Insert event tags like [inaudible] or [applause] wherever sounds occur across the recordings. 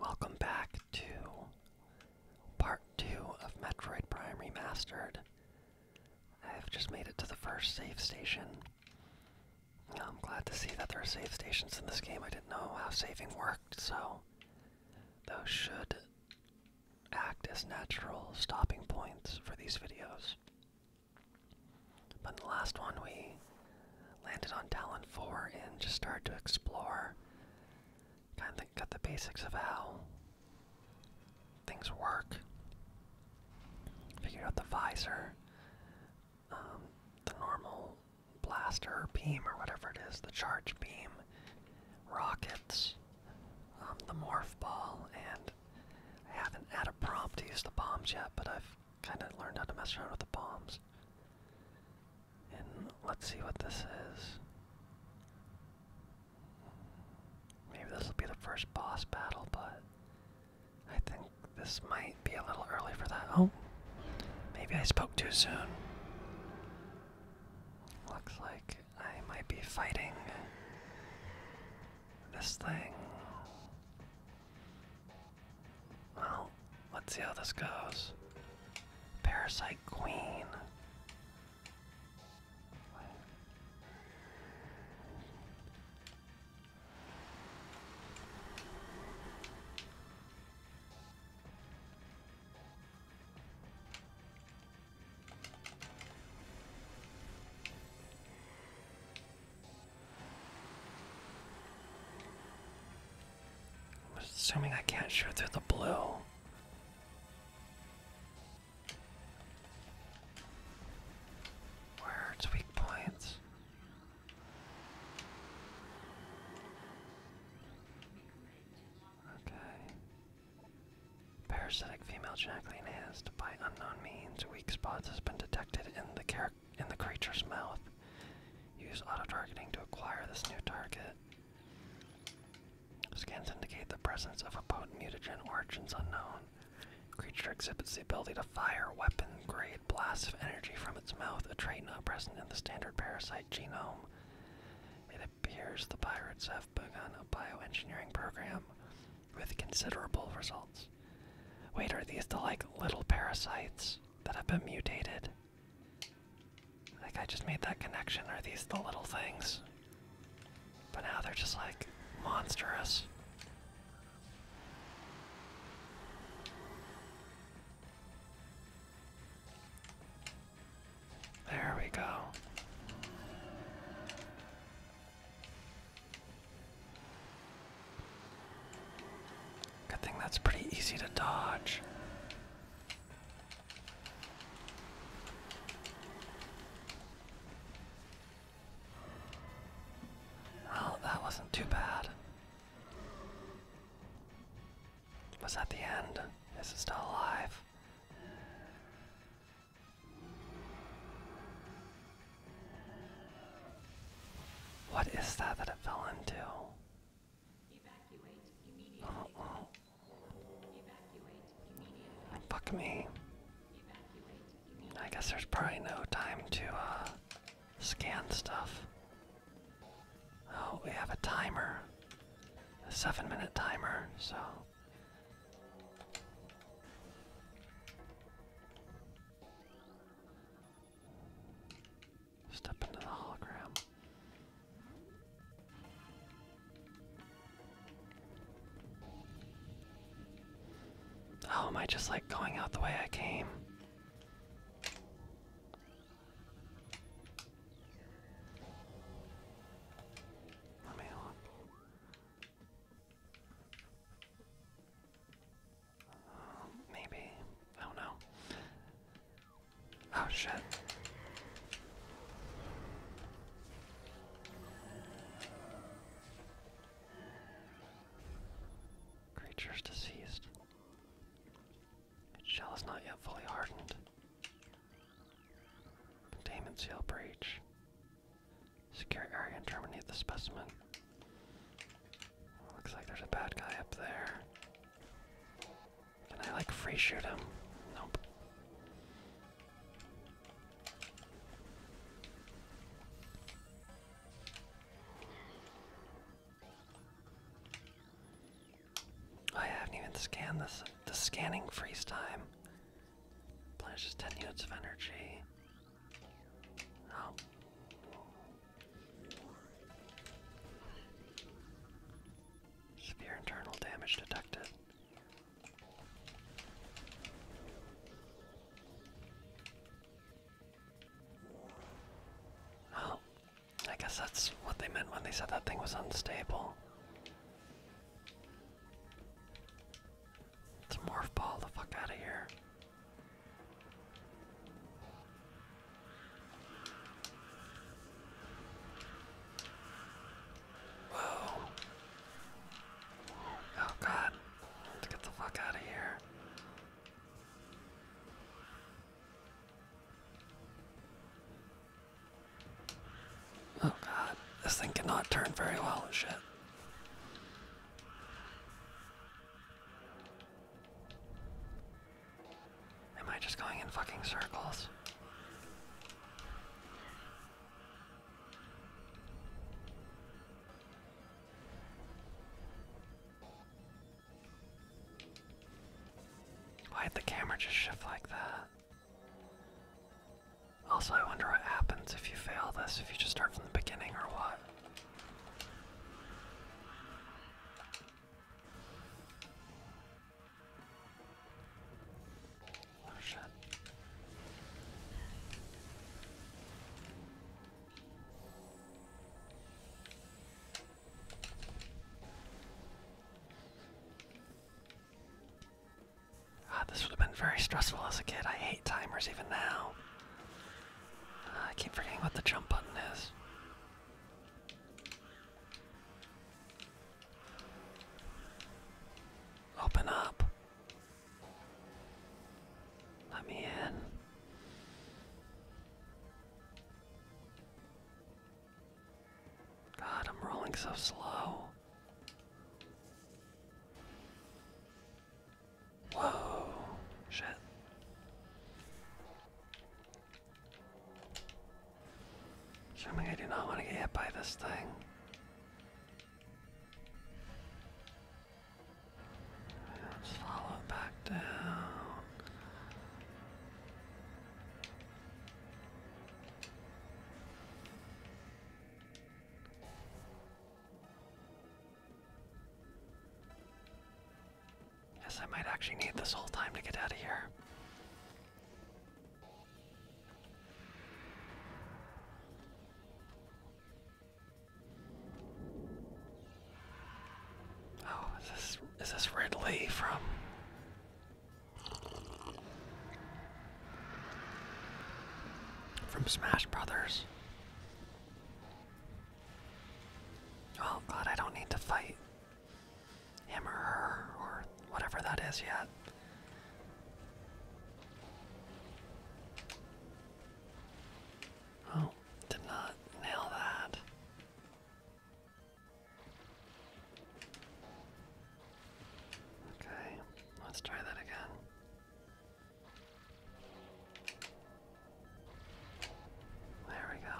Welcome back to part 2 of Metroid Prime Remastered. I've just made it to the first save station. I'm glad to see that there are save stations in this game. I didn't know how saving worked, so those should act as natural stopping points for these videos. But in the last one, we landed on Talon 4 and just started to explore. Kind of got the basics of how things work. Figured out the visor, um, the normal blaster beam or whatever it is, the charge beam, rockets, um, the morph ball, and I haven't had a prompt to use the bombs yet, but I've kind of learned how to mess around with the bombs. And let's see what this is. Maybe this will be the first boss battle, but I think this might be a little early for that. Oh, maybe I spoke too soon. Looks like I might be fighting this thing. Well, let's see how this goes. Parasite Queen. I'm assuming I can't shoot through the blue. Where are its weak points? Okay. Parasitic female Jacqueline enhanced by unknown means. Weak spots has been detected in the character in the creature's mouth. Use auto targeting to acquire this new target. Scans indicate the presence of a potent mutagen, origins unknown. Creature exhibits the ability to fire weapon grade blasts of energy from its mouth, a trait not present in the standard parasite genome. It appears the pirates have begun a bioengineering program with considerable results. Wait, are these the like little parasites that have been mutated? Like I just made that connection. Are these the little things? But now they're just like monstrous. There we go. Good thing that's pretty easy to dodge. Well, that wasn't too bad. Was that the end? Is it still alive? What is that that it fell into? Fuck me. I guess there's probably no time to uh, scan stuff. Oh, we have a timer. A seven minute timer, so. Step into the hologram. Oh, am I just like going out the way I came? Maybe. I don't know. Oh shit. Creatures deceased. shell is not yet fully hardened. Containment seal breach. Secure area and terminate the specimen. Looks like there's a bad guy up there. Can I like free shoot him? Nope. Oh, I haven't even scanned this. The scanning freeze time. Plans just 10 units of energy. Oh. Severe internal damage detected. Oh, I guess that's what they meant when they said that thing was unstable. It's a morph ball the fuck out of here. Whoa. Oh god. Let's get the fuck out of here. Oh god. This thing cannot turn very well. Shit. Am I just going in fucking circles? Why'd the camera just shift like that? Also, I wonder what happens if you fail this, if you just start from the beginning or what. Shit. Ah, this would have been very stressful as a kid. I hate timers even now. Ah, I keep forgetting what the jump button is. Open up. Let me in. God, I'm rolling so slow. Whoa, shit. Assuming I do not want to get hit by this thing. follow back down. Yes, I might actually need this whole time to get out of here. Oh, is this is this Ridley from? From Smash Brothers. Oh god, I don't need to fight him or her or whatever that is yet. Oh, did not nail that. Okay, let's try that again. There we go.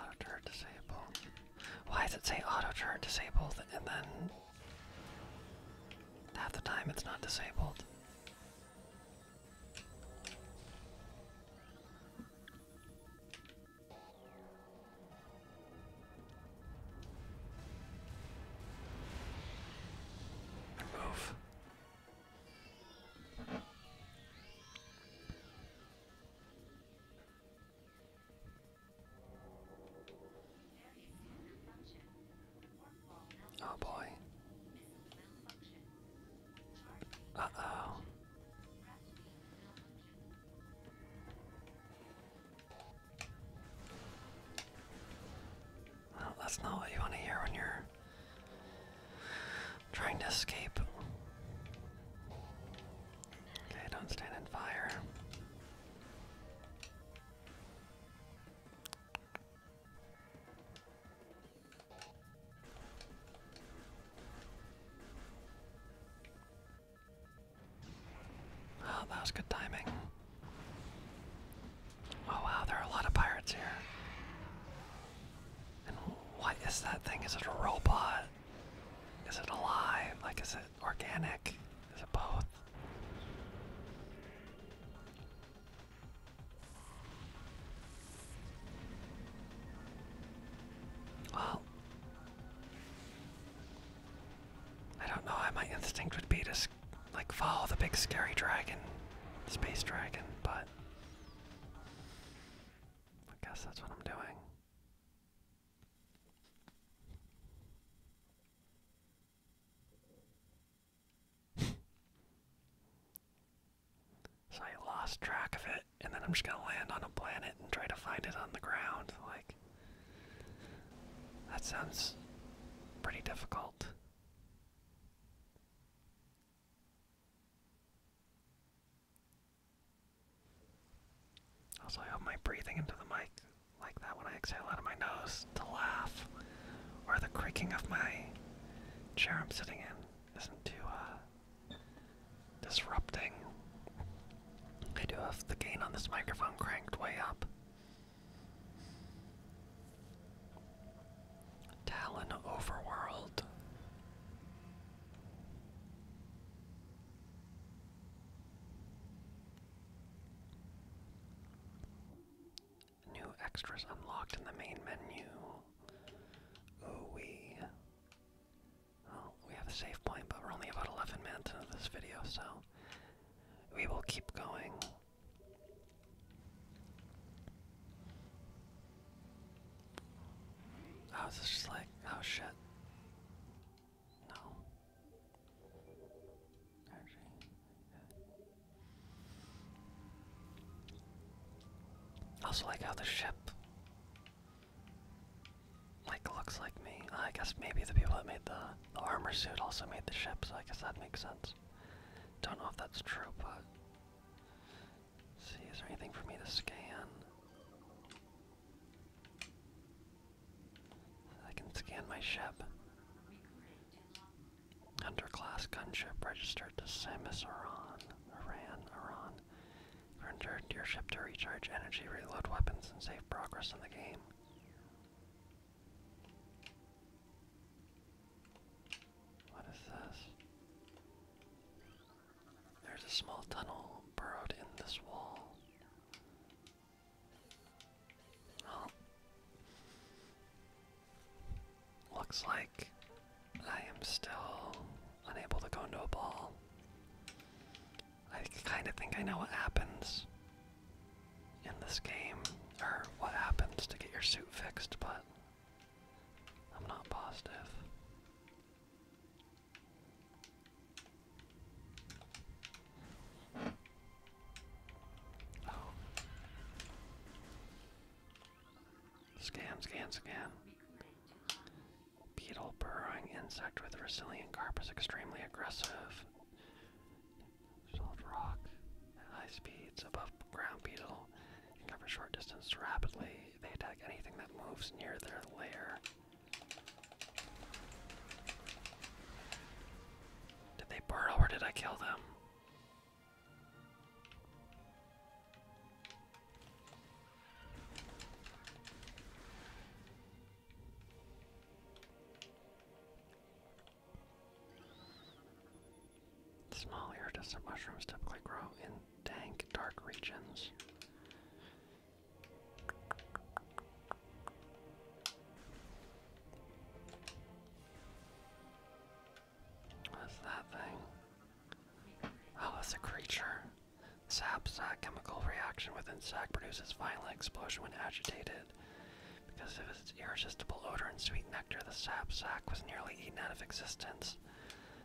Auto turret disable. Why does it say auto turret disabled and then half the time it's not disabled? Oh boy. Uh oh. Well, that's not what you want to hear when you're trying to escape. Okay, don't stand in fire. Oh, that was good timing. Oh wow, there are a lot of pirates here. what is that thing? Is it a robot? Is it alive? Like, is it organic? Is it both? Well, I don't know. My instinct would be to like follow the big scary dragon, space dragon, but I guess that's what I'm doing. [laughs] so I lost track of it, and then I'm just gonna land on a planet and try to find it on the ground. Like, that sounds pretty difficult. Also, I hope my breathing into the mic like that when I exhale out of my nose to laugh, or the creaking of my chair I'm sitting in isn't too uh, disrupting. I do have the gain on this microphone cranked way up. Talon Overworld. New extras unlocked in the main menu. Ooh wee. Well, we have a save point, but we're only about 11 minutes into this video, so we will keep going. I was just like, oh shit. No. Actually, like also like how the ship like looks like me. I guess maybe the people that made the armor suit also made the ship, so I guess that makes sense. Don't know if that's true, but. see, is there anything for me to scan? I can scan my ship. Underclass gunship registered to Samus Aran. Iran, Iran. Return to your ship to recharge energy, reload weapons, and save progress in the game. What is this? There's a small tunnel burrowed in this wall. Well, looks like I am still unable to go into a ball. I kind of think I know what happens in this game or what happens to get your suit fixed, but I'm not positive. Oh. Scan, scan, scan. Beetle burrowing insect with resilient carp extremely aggressive solid rock at high speeds above ground beetle cover short distance rapidly. They attack anything that moves near their lair. Did they burrow or did I kill them? Small iridescent mushrooms typically grow in dank, dark regions. What's that thing? Oh, it's a creature. Sap's chemical reaction with insect produces violent explosion when agitated. Because of its irresistible odor and sweet nectar, the sap sack was nearly eaten out of existence.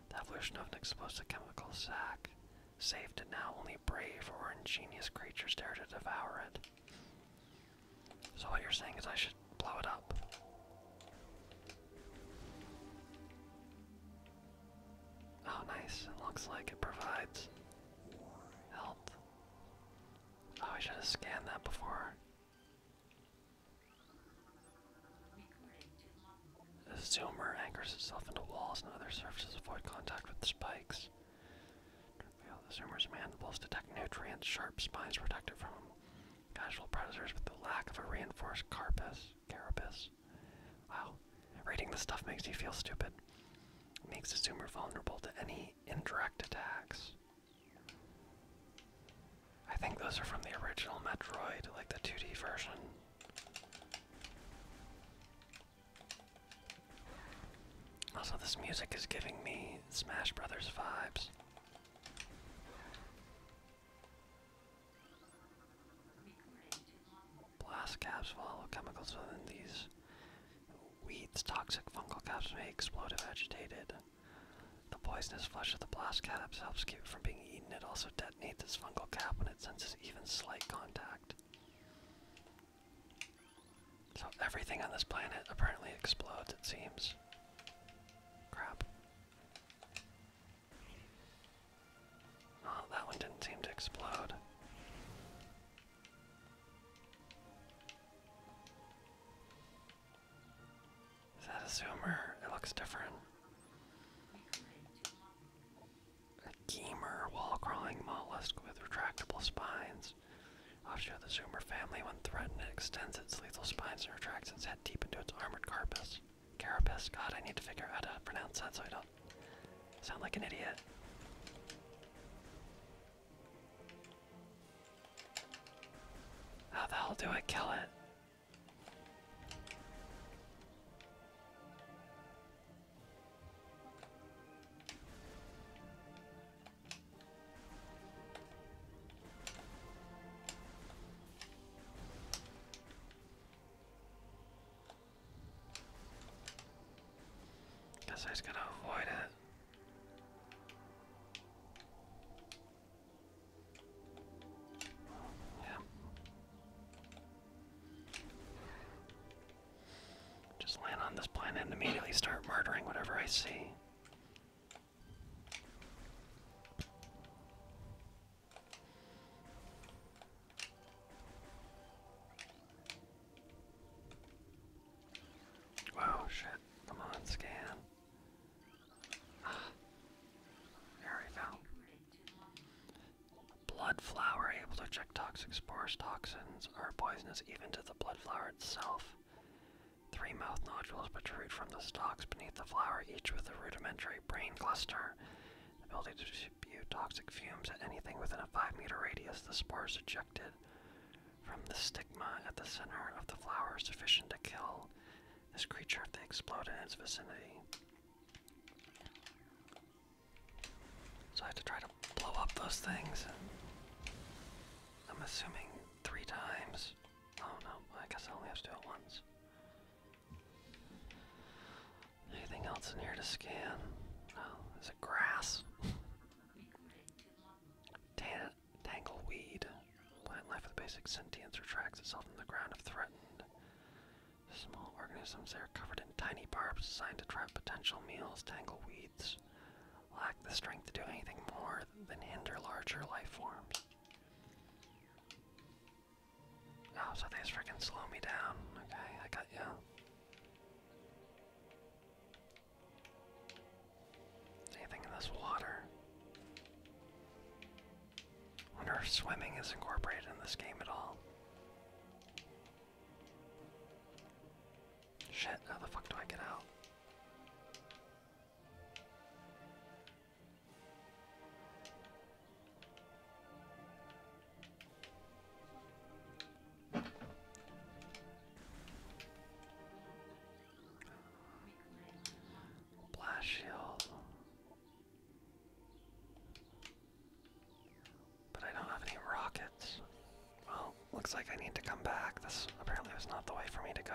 The evolution of an explosive chemical sac saved it now only brave or ingenious creatures dare to devour it. So what you're saying is I should blow it up. Oh nice, looks like it provides health. Oh, I should have scanned that before. The zoomer anchors itself into walls and other surfaces to avoid contact with the spikes. The zoomer's mandibles detect nutrients, sharp spines protect it from casual predators with the lack of a reinforced carapace. carapace. Wow, reading this stuff makes you feel stupid. It makes the zoomer vulnerable to any indirect attacks. I think those are from the original Metroid, like the 2D version. Also, this music is giving me Smash Brothers vibes. Blast caps follow chemicals within these weeds. Toxic fungal caps may explode if agitated. The poisonous flesh of the blast caddis helps keep it from being eaten. It also detonates its fungal cap when it senses even slight contact. So everything on this planet apparently explodes, it seems. Crap. Oh, that one didn't seem to explode. Is that a zoomer? It looks different. A gamer wall crawling mollusk with retractable spines. Offshoot of the zoomer family, when threatened, it extends its lethal spines and retracts its head deep into its armored carapace. Carapace. God, I need to figure out how to pronounce that so I don't sound like an idiot. How the hell do I kill it? Guess I gonna avoid it. Yeah. Just land on this planet and immediately start murdering whatever I see. Wow, shit. Come on, scan. Ah. There Blood flower able to eject toxic spores. Toxins are poisonous even to the blood flower itself. Three mouth nodules protrude from the stalks beneath the flower, each with a rudimentary brain cluster. The ability to spew toxic fumes at anything within a 5 meter radius. The spores ejected from the stigma at the center of the flower sufficient to kill this creature if they explode in its vicinity. So I have to try to blow up those things. I'm assuming three times. Oh no, I guess I only have to do it once. Anything else in here to scan? Oh, is grass? [laughs] Damn Tangleweed. Plant life with basic sentience retracts itself from the ground if threatened. Small organisms, they are covered in tiny barbs designed to trap potential meals. Tangleweeds lack the strength to do anything more than hinder larger life forms. Oh, freaking slow me down. Okay, I got you. Anything in this water? Wonder if swimming is incorporated in this game at all. Shit, how the fuck do I get out? Blast shield. But I don't have any rockets. Well, looks like I need to come back. This apparently was not the way for me to go.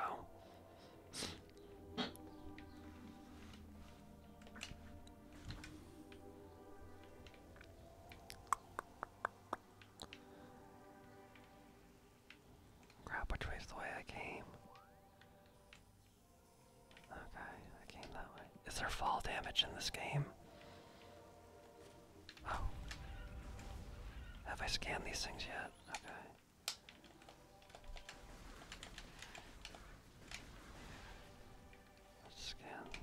Crap, which way's the way I came? Okay, I came that way. Is there fall damage in this game? Oh. Have I scanned these things yet? Okay. scan.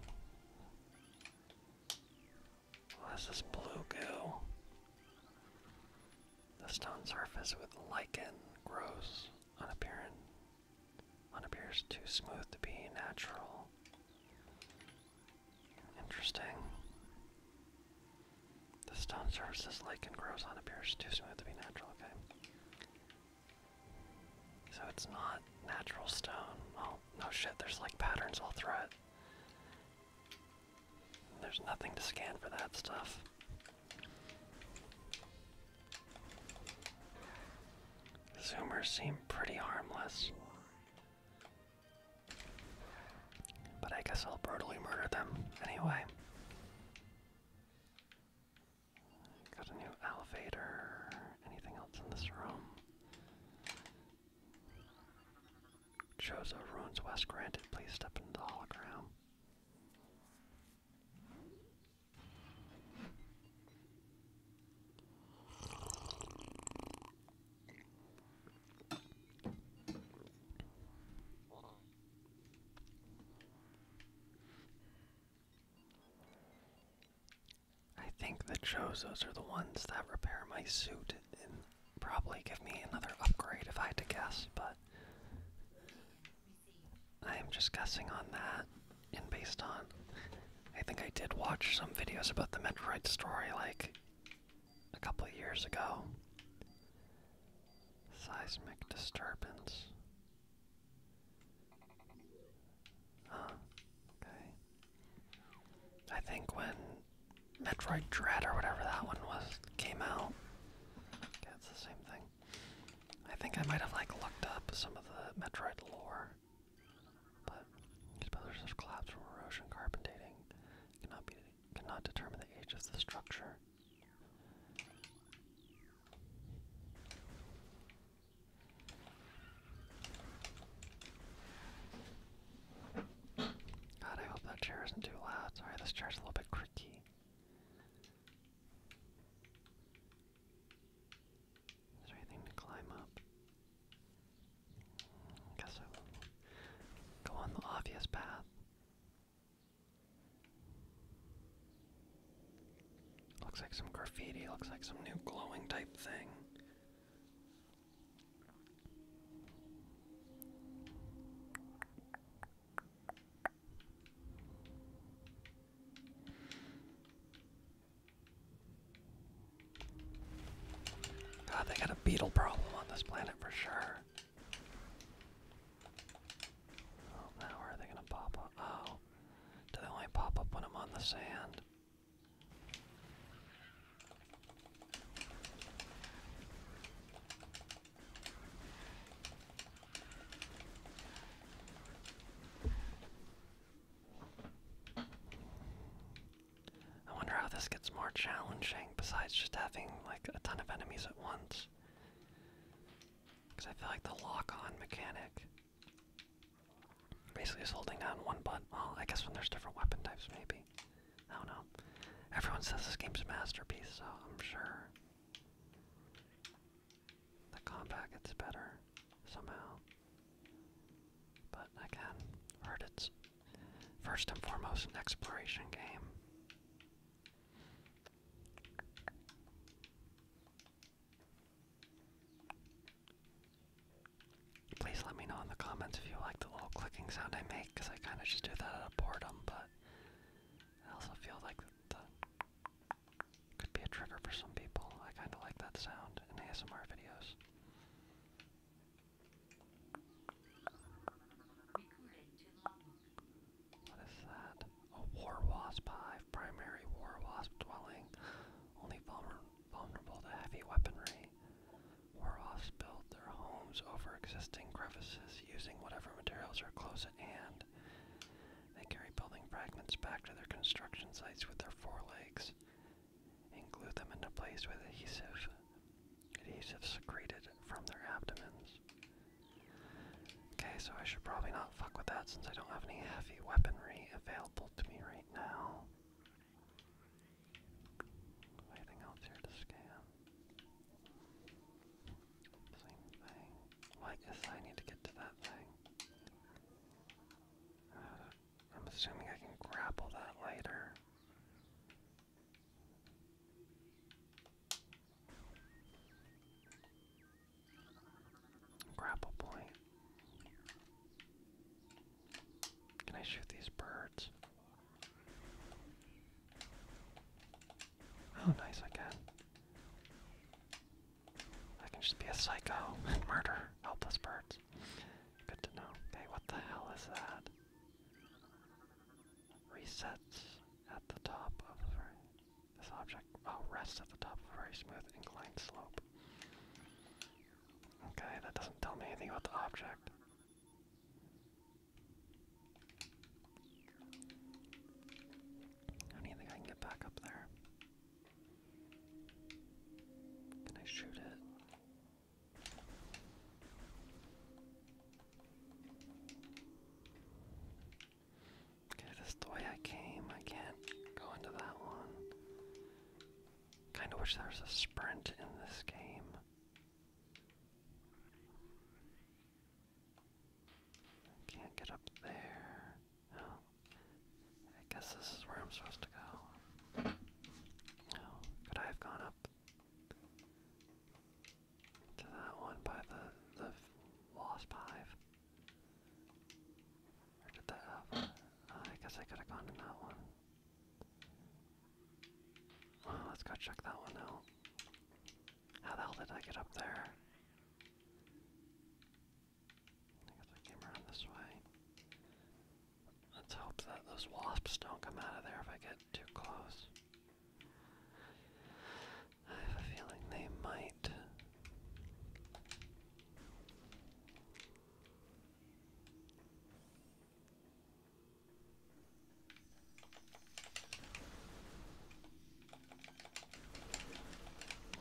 Where's this blue goo? The stone surface with lichen grows unapparent, unappears too smooth to be natural. Interesting. The stone surface is lichen grows on unappears too smooth to be natural. Okay. So it's not natural stone. Oh no shit! There's like patterns all through it. There's nothing to scan for that stuff. Zoomers seem pretty harmless. But I guess I'll brutally murder them anyway. Got a new elevator. Anything else in this room? Chozo ruins West granted. Please step into the hologram. I think the Chozos are the ones that repair my suit probably give me another upgrade if I had to guess, but I am just guessing on that and based on. I think I did watch some videos about the Metroid story like a couple years ago. Seismic disturbance. Okay. I think when Metroid Dread or whatever that one was came out. it's the same thing. I think I might have like looked up some of the Metroid lore. But spellers of collapse from erosion, carbon dating cannot be cannot determine the age of the structure. God, I hope that chair isn't too loud. Sorry, this chair's a little bit creaky. Is there anything to climb up? I mm, guess I go on the obvious path. Looks like some graffiti, looks like some new glowing type thing. Oh, they got a beetle problem on this planet for sure. Oh, now are they gonna pop up? Oh, do they only pop up when I'm on the sand? I wonder how this gets more challenging besides just having like a ton of enemies at once. Because I feel like the lock on mechanic basically is holding down one button. Well, I guess when there's different weapon types, maybe. I don't know. Everyone says this game's a masterpiece, so I'm sure the combat gets better somehow. But again, heard it's first and foremost an exploration game. Please let me know in the comments if you like the little clicking sound I make, because I kind of just do that out of boredom, but I also feel like that could be a trigger for some people. I kind of like that sound in ASMR videos. What is that? A war wasp hive, primary war wasp dwelling, only vulnerable to heavy weaponry. Waroffs built their homes over existing crevices using whatever materials are close at hand. They carry building fragments back to their construction sites with their forelegs and glue them into place with adhesive, adhesive secreted from their abdomens. Okay, so I should probably not fuck with that since I don't have any heavy weaponry available to me right now. Anything else here to scan? Same thing. What is I need to get to that thing? Uh, I'm assuming I can grapple that later. Grapple point. Can I shoot these birds? Oh, nice, I can. I can just be a psycho and [laughs] murder helpless birds. Good to know. Okay, what the hell is that? Resets at the top of this object. Oh, rests at the top of a very smooth inclined slope. Okay, that doesn't tell me anything about the object. I don't think I can get back up there. Can I shoot it? Okay, this is the way I came. I go into that one. Kinda wish there was a sprint in this game. I can't get up there. I guess this is where I'm supposed to go. Could I have gone up to that one by the the wasp hive? Or did that I guess I could have gone to that one let's go check that one out. How the hell did I get up there? I guess I came around this way. Let's hope that those wasps don't come out of there if I get too close. I have a feeling they might.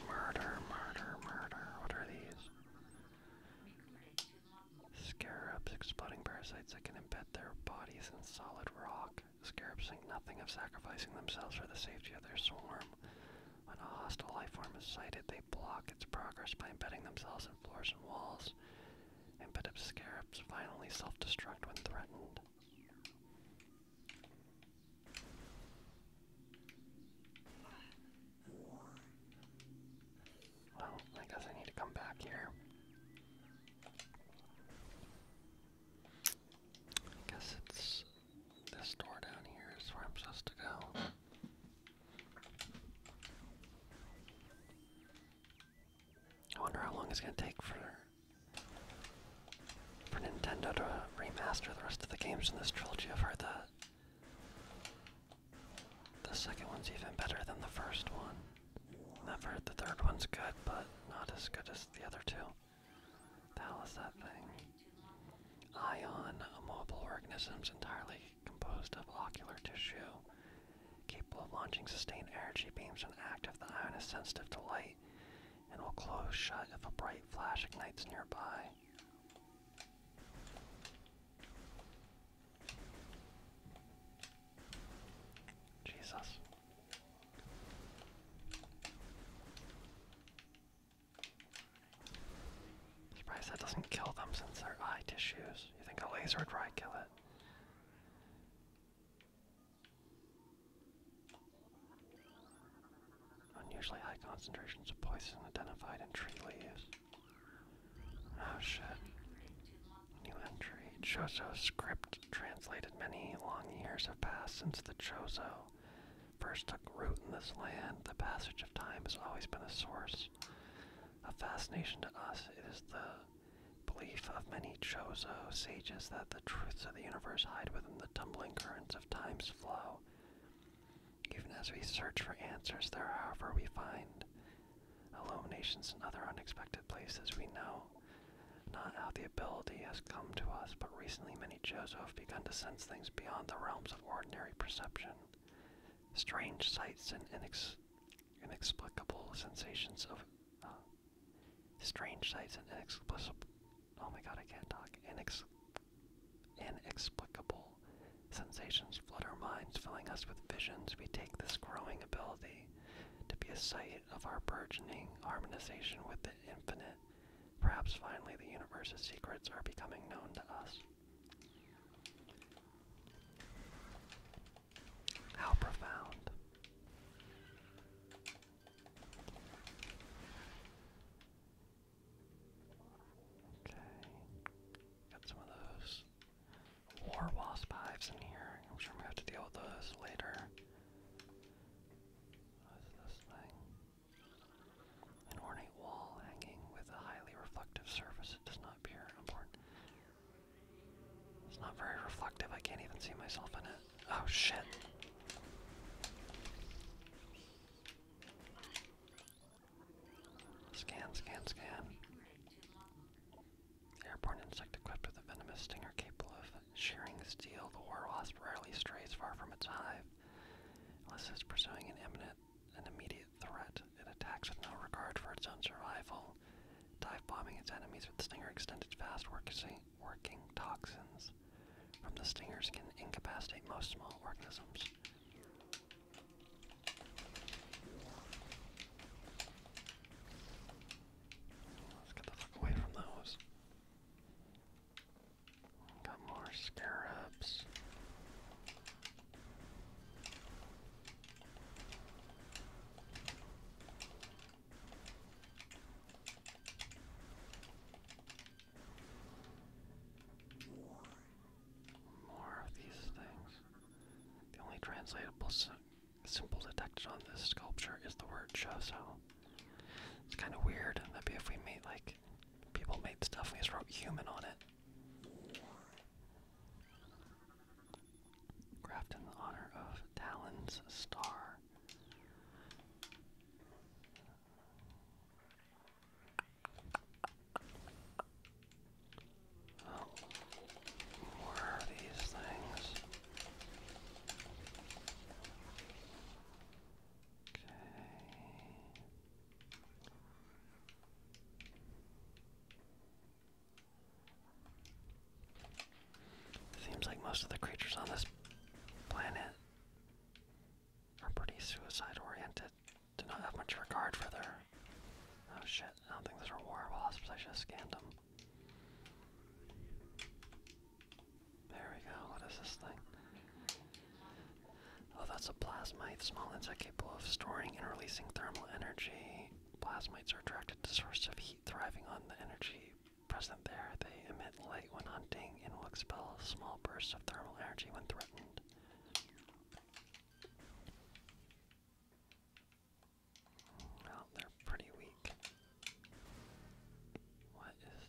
Murder, murder, murder. What are these? Scarabs, exploding parasites that can embed their bodies in solid rock. Scarabs think nothing of sacrificing themselves for the safety of their swarm. When a hostile life form is sighted, they block its progress by embedding themselves in floors and walls and bit scarabs finally self-destruct when threatened. Well, I guess I need to come back here. I guess it's this door down here is where I'm supposed to go. I wonder how long it's gonna take for for Nintendo to remaster the rest of the games in this trilogy. I've heard that the second one's even better than the first one. I've heard the third one's good, but not as good as the other two. The hell is that thing? Ion, mobile organism's entirely composed of ocular tissue, capable of launching sustained energy beams when active. The ion is sensitive to light and will close shut if a bright flash ignites nearby. Jesus. Surprised that doesn't kill them since their eye tissues. You think a laser would probably kill it? Unusually high concentrations of poison identified in tree leaves. Oh shit. New entry. Chozo script translated. Many long years have passed since the Chozo first took root in this land. The passage of time has always been a source of fascination to us. It is the Belief of many Chozo sages that the truths of the universe hide within the tumbling currents of time's flow. Even as we search for answers there, however, we find illuminations in other unexpected places we know. Not how the ability has come to us, but recently many Chozo have begun to sense things beyond the realms of ordinary perception. Strange sights and inex inexplicable sensations of uh, strange sights and inexplicable. Oh my god, I can't talk. Inex inexplicable sensations flood our minds, filling us with visions. We take this growing ability to be a sight of our burgeoning harmonization with the infinite. Perhaps finally the universe's secrets are becoming known to us. How profound. Okay. Got some of those war wasp hives in here. I'm sure i have to deal with those later. What's this thing? An ornate wall hanging with a highly reflective surface. It does not appear important. It's not very reflective. I can't even see myself in it. Oh shit. Scan, scan, scan. Airborne insect equipped with a venomous stinger capable of shearing steel. The war rarely strays far from its hive unless it's pursuing an imminent, an immediate threat. It attacks with no regard for its own survival, dive bombing its enemies with stinger extended fast working toxins. From the stingers can incapacitate most small organisms. Let's get the fuck away from those. Got more scarabs. More of these things. The only translatable simple detected on this sculpture is the word So It's kind of weird. That'd be if we made like people made stuff and we just wrote human on it. Grafted in honor of Talon's star. Oh, more these things. Okay. Seems like most of the creatures on this planet are pretty suicide oriented. Do not have much regard for their. Oh shit, I don't think those are war wasps, I should have scanned them. There we go, what is this thing? Oh, that's a plasmite, small insect capable of storing and releasing thermal energy. Plasmites are attracted to sources of heat, thriving on the energy present there. They emit light when hunting and will expel small bursts of thermal energy when threatened. Well, they're pretty weak. What is.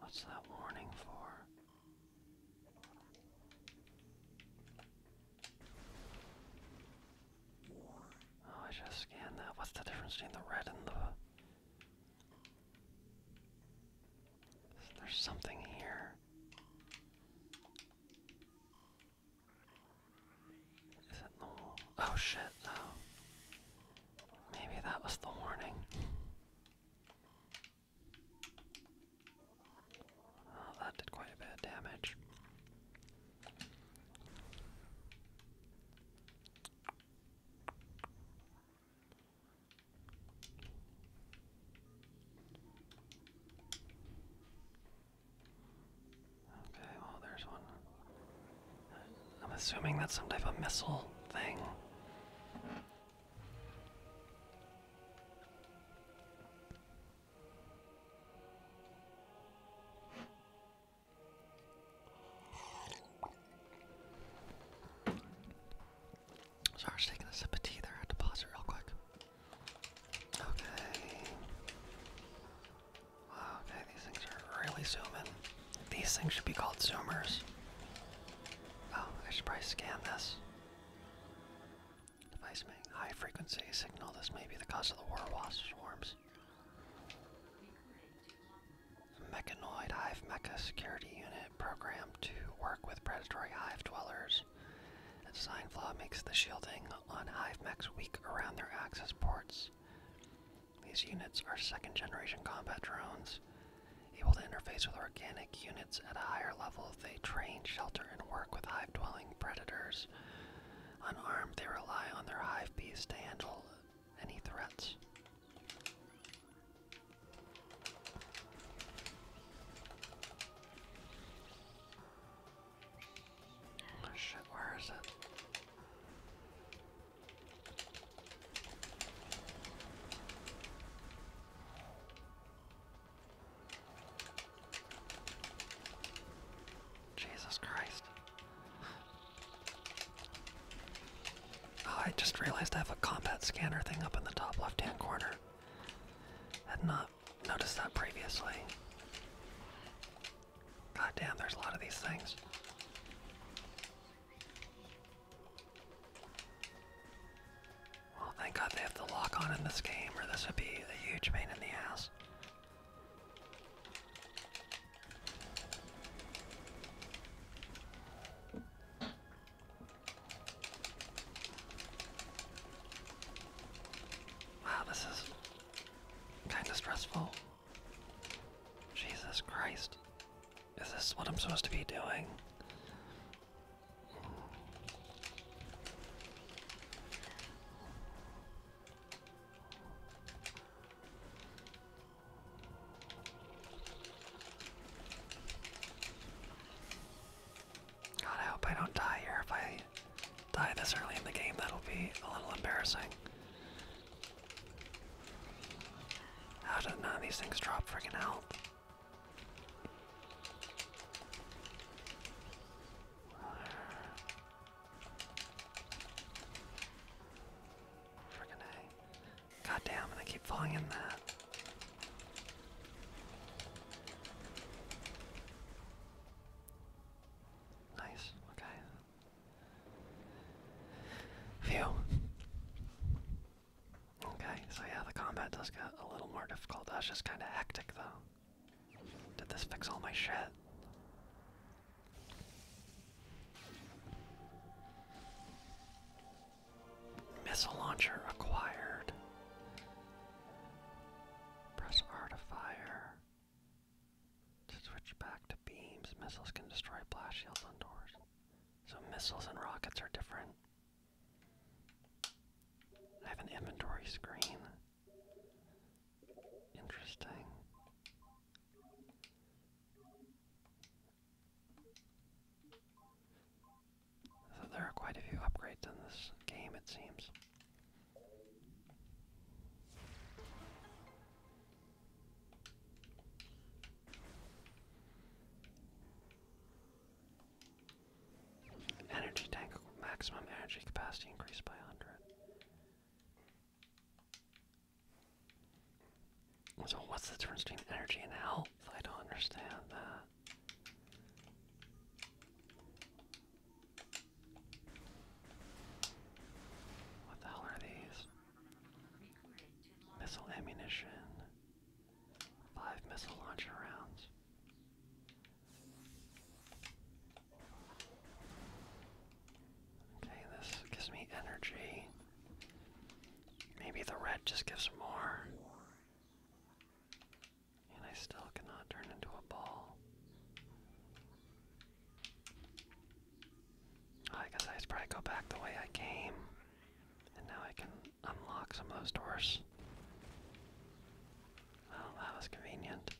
What's that warning for? Oh, I just scanned that. What's the difference between the red and the. There's something here. Is it the Oh shit, no. Maybe that was the warning. Oh, that did quite a bit of damage. Okay, well, there's one. I'm assuming that's some type of missile thing. Sorry, I was taking a sip of tea there. I had to pause it real quick. Okay. Wow, okay, these things are really zooming. These things should be called zoomers. Oh, I should probably scan this. Device making high frequency signal. This may be the cause of the war wasps swarms. Mechanoid Hive Mecha Security Unit programmed to work with predatory hive dwellers. design flaw makes the shielding on hive mechs weak around their access ports. These units are second generation combat drones able to interface with organic units at a higher level. They train, shelter, and work with hive dwelling predators. Unarmed, they rely on their hive bees to handle any threats. Oh shit, where is it? Jesus Christ. Oh, I just realized I have a combat scanner thing up in the top left hand corner. Had not noticed that previously. God damn, there's a lot of these things. Well, thank God they have the lock on in this game, or this would be a huge pain in the ass. Wow, this is kind of stressful. Jesus Christ. Is this what I'm supposed to be doing? God, I hope I don't die here. If I die this early in the game, that'll be a little embarrassing. How did these things drop freaking health? Friggin' A. God damn, and I keep falling in that. Nice, okay. Phew. Okay, so yeah, the combat does get a little more difficult. That's just kind of hectic, though. Did this fix all my shit? Missile launcher acquired. Press R to fire. To switch back to beams, missiles can destroy blast shields on doors. So missiles and rockets are different. I have an inventory screen. Interesting. there are quite a few upgrades in this game, it seems. Energy tank maximum energy capacity increased by 100. So, what's the difference between energy and health? I don't understand that. What the hell are these? Missile ammunition. Five missile launcher rounds. Okay, this gives me energy. Maybe the red just gives more. And I still cannot turn into a ball. Oh, I guess I should probably go back the way I came. And now I can unlock some of those doors. Well, oh, that was convenient.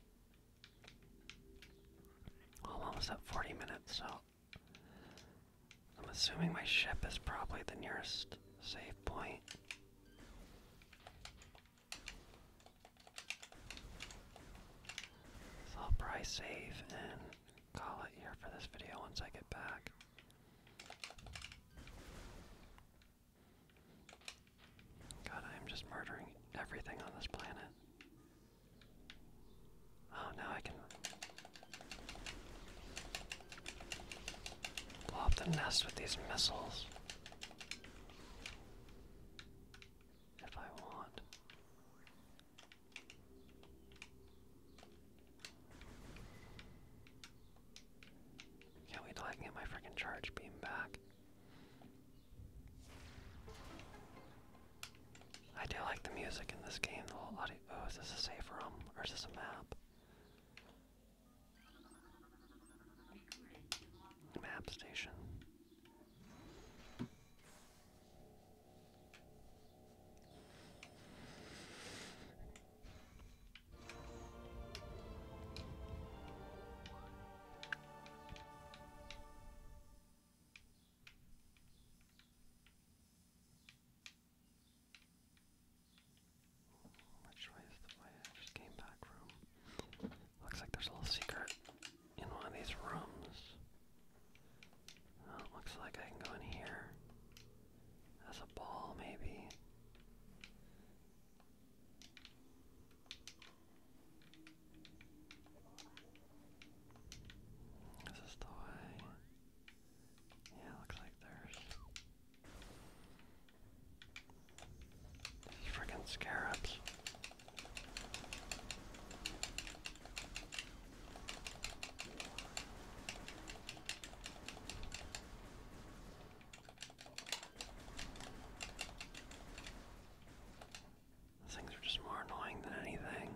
Well, I'm almost 40 minutes, so I'm assuming my ship is probably the nearest safe point. I'll probably save and call it here for this video once I get back. God, I am just murdering everything on this planet. Oh, now I can blow up the nest with these missiles. If I want. Can't wait till I get my freaking charge beam back. I do like the music in this game, the little audio. Oh, is this a safe room? Or is this a map? Map station. Which way is the way I just came back from? Looks like there's a little secret in one of these rooms. Oh, looks like I can go in here as a ball, maybe. This is the way. Yeah, looks like there's. These freaking scarabs. Those things are just more annoying than anything.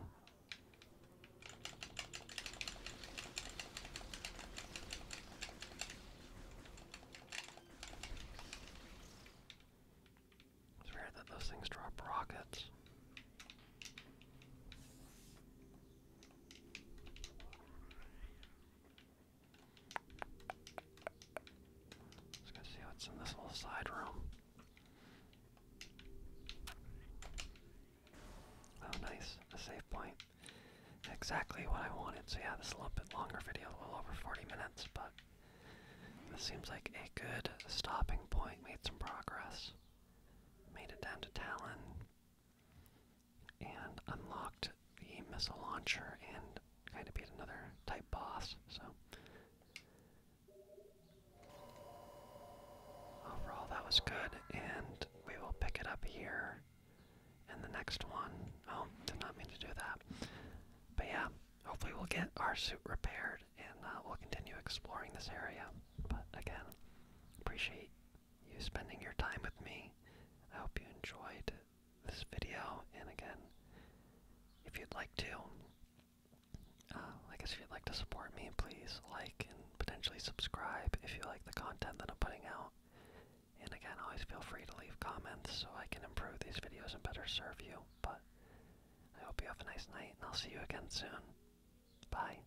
It's weird that those things drop rockets. Just gonna see what's in this little side room. Oh, nice. A save point. Exactly what I wanted. So, yeah, this is a little bit longer video, a little over 40 minutes, but this seems like a good stopping point. Made some progress. Made it down to Talon and unlocked the missile launcher and kind of beat another type boss. So overall, that was good, and we will pick it up here in the next one. Oh, did not mean to do that. But yeah, hopefully we'll get our suit repaired and uh, we'll continue exploring this area. But again, appreciate you spending your time with me. I hope you enjoyed this video, and again, if you'd like to, uh, I guess if you'd like to support me, please like and potentially subscribe if you like the content that I'm putting out. And again, always feel free to leave comments so I can improve these videos and better serve you. But I hope you have a nice night, and I'll see you again soon. Bye.